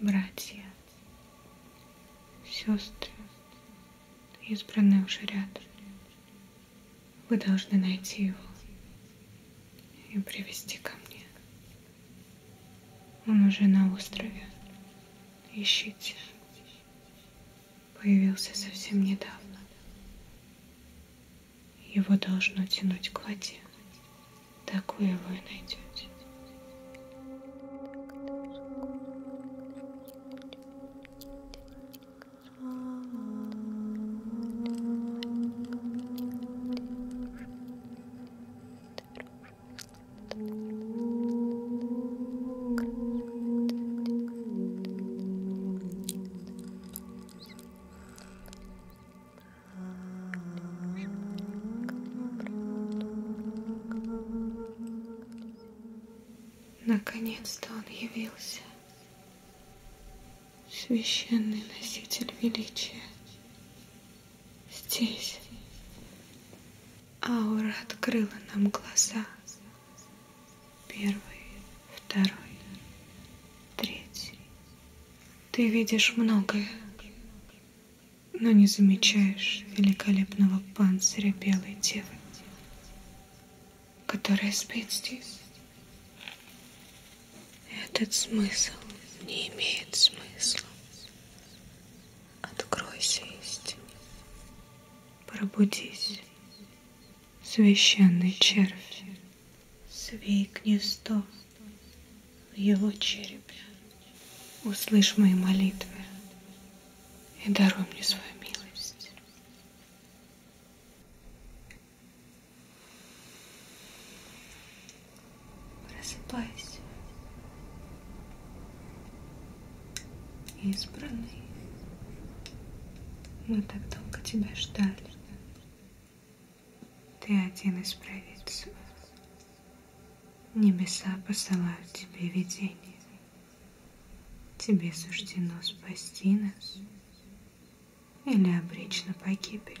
братья, сестры, избранные уже рядом. Вы должны найти его и привести ко мне. Он уже на острове. Ищите. Появился совсем недавно. Его должно тянуть к воде. Такую вы найдете. Хорошо. Наконец-то он явился, священный носитель величия. Здесь аура открыла нам глаза. Первый, второй, третий, ты видишь многое, но не замечаешь великолепного панциря белой девы, которая спит здесь. Этот смысл не имеет смысла. Откройся истине. Пробудись, священный червь свей гнездо в его черепе. Услышь мои молитвы и даруй мне свою милость. Просыпайся, избранный. Мы так долго тебя ждали. Ты один из провидцев. Небеса посылают тебе видение. Тебе суждено спасти нас или обречь на погибель.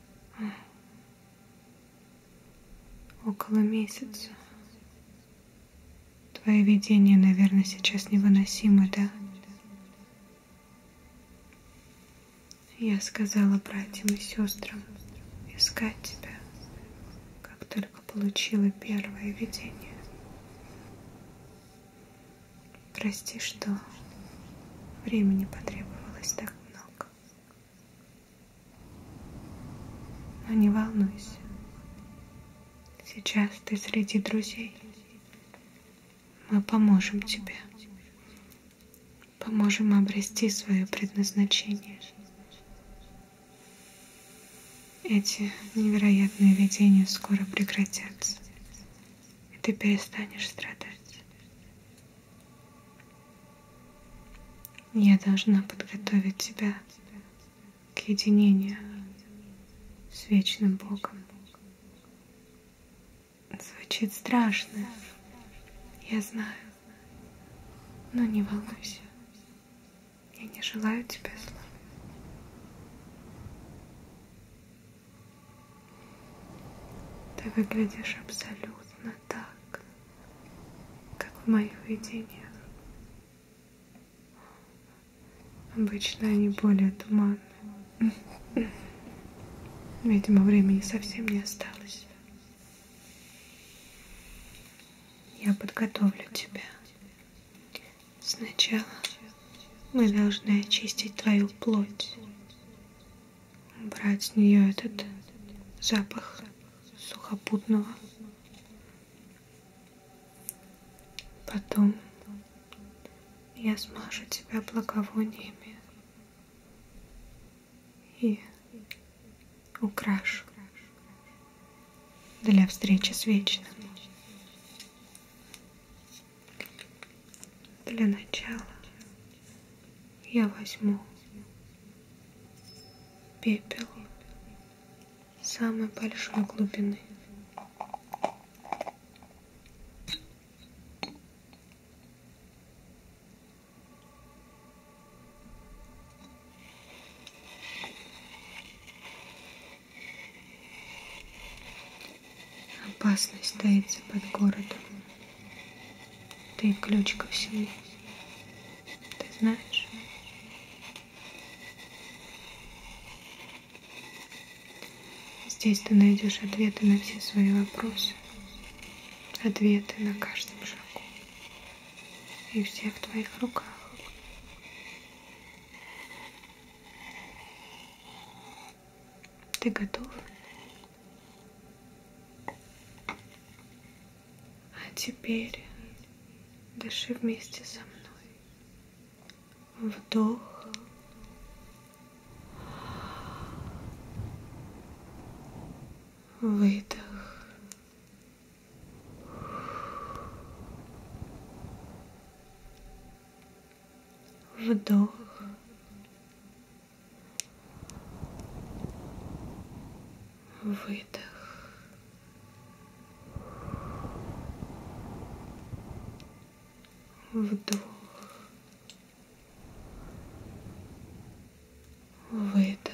около месяца. Твои видения, наверное, сейчас невыносимы, да? Я сказала братьям и сестрам искать тебя, как только получила первое видение. Прости, что времени потребовалось так много. Но не волнуйся. Сейчас ты среди друзей. Мы поможем тебе. Поможем обрести свое предназначение. Эти невероятные видения скоро прекратятся и ты перестанешь страдать. Я должна подготовить тебя к единению с вечным Богом. Звучит страшно, я знаю, но не волнуйся. Я не желаю тебе зла. Ты выглядишь абсолютно так, как в моих видениях. Обычно они более туманны. Видимо, времени совсем не осталось. Я подготовлю тебя. Сначала мы должны очистить твою плоть, убрать с нее этот запах сухопутного. Потом я смажу тебя благовониями и украшу для встречи с вечным. Для начала я возьму пепел самой большой глубины. Опасность таится под городом. Ты ключ ко всему. Ты знаешь? Здесь ты найдешь ответы на все свои вопросы. Ответы на каждом шагу. И все в твоих руках. Ты готов? А теперь дыши вместе со мной. Вдох. Выдох вдох. Выдох. Вдох. Выдох.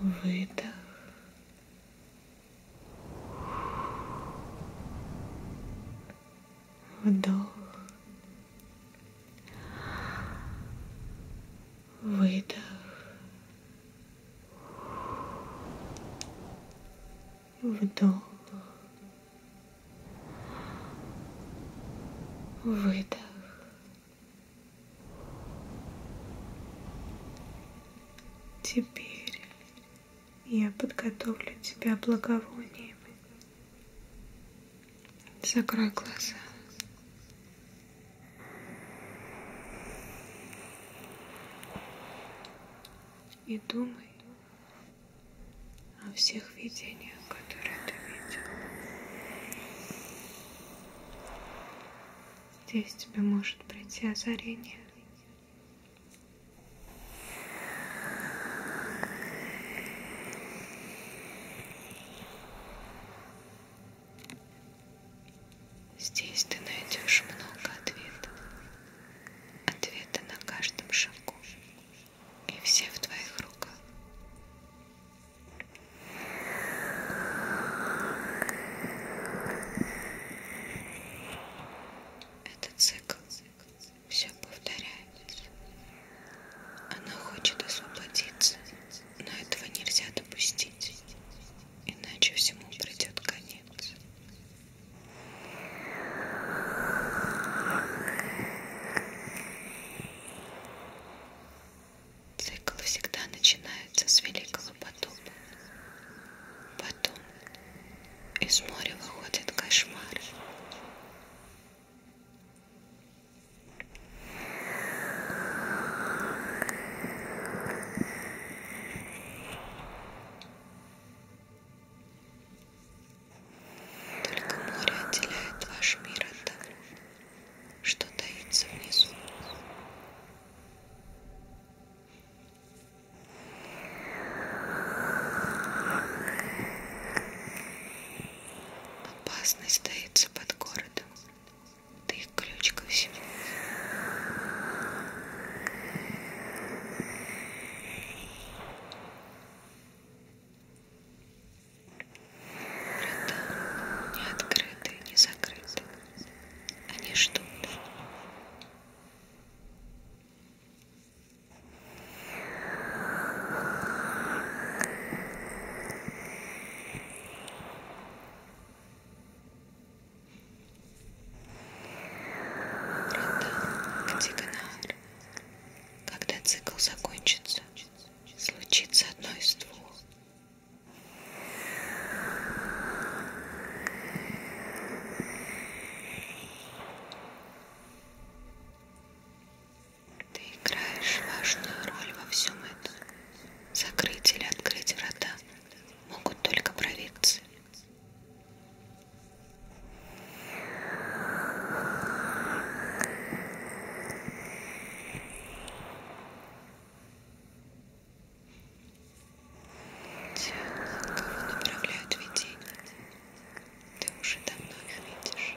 выдох. Вдох. Выдох. Вдох. Выдох. Теперь я подготовлю тебя благовониями. Закрой глаза. И думай о всех видениях, которые ты видел. Здесь тебе может прийти озарение. Здесь ты найдешь много ответов. Ответы на каждом шагу. И все в твоих руках. Это цикл, все повторяется. Она хочет освободиться, но этого нельзя допустить, иначе всему придет конец. Цикл всегда начинается с великого потопа. Потом из моря выходят кошмары. Только море отделяет ваш мир от того, что таится внизу. Опасность таится под городом. Ты их ключ ко всему. Врата не открыты, не закрыты. Они ждут. Врата Катигонар. Когда цикл закончится, случится одно из двух. Ты играешь важную роль во всем этом. Закрыть или открыть врата могут только провидцы направляют видение. Ты уже давно их видишь.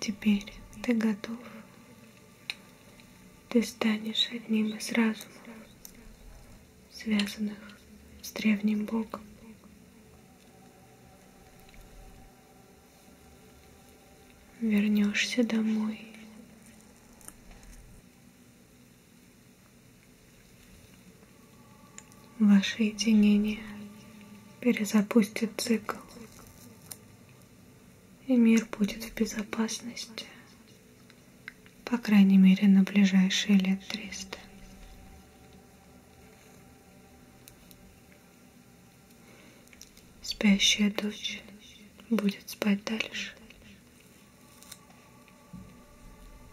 Теперь ты готов. Ты станешь одним из разумов, связанных с древним Богом. Вернешься домой Ваше единение перезапустит цикл, и мир будет в безопасности, по крайней мере, на ближайшие лет 300. Спящая дочь будет спать дальше.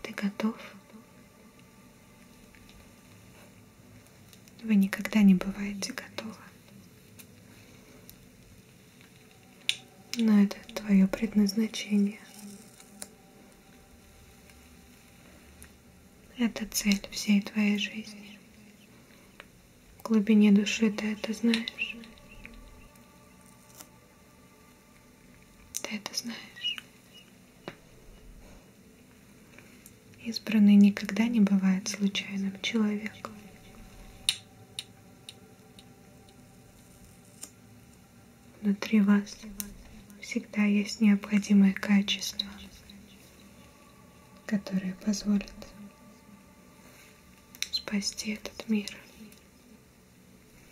Ты готов? Вы никогда не бываете готовы. Но это твое предназначение. Это цель всей твоей жизни. В глубине души ты это знаешь. Ты это знаешь. Избранный никогда не бывает случайным человеком. Внутри вас всегда есть необходимые качества, которые позволят спасти этот мир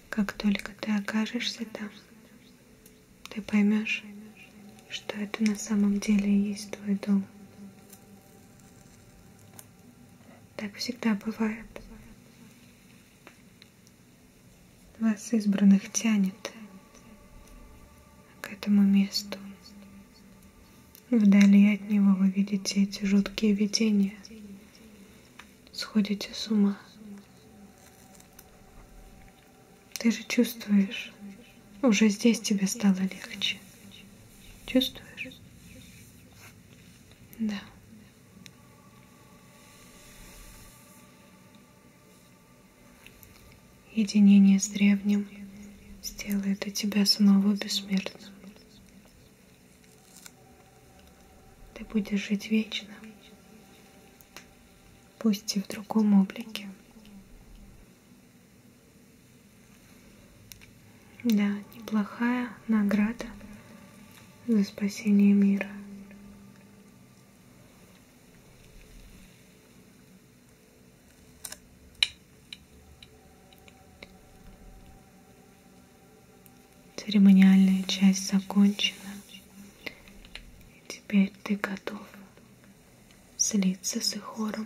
как только ты окажешься там, ты поймешь, что это на самом деле и есть твой дом. Так всегда бывает. Вас избранных тянет к этому месту. Вдали от него вы видите эти жуткие видения, сходите с ума. Ты же чувствуешь, уже здесь тебе стало легче. Чувствуешь? Да. Единение с древним сделает и тебя снова бессмертным. Ты будешь жить вечно, пусть и в другом облике. Да, неплохая награда за спасение мира. Церемониальная часть закончена. И теперь ты готов слиться с их хором.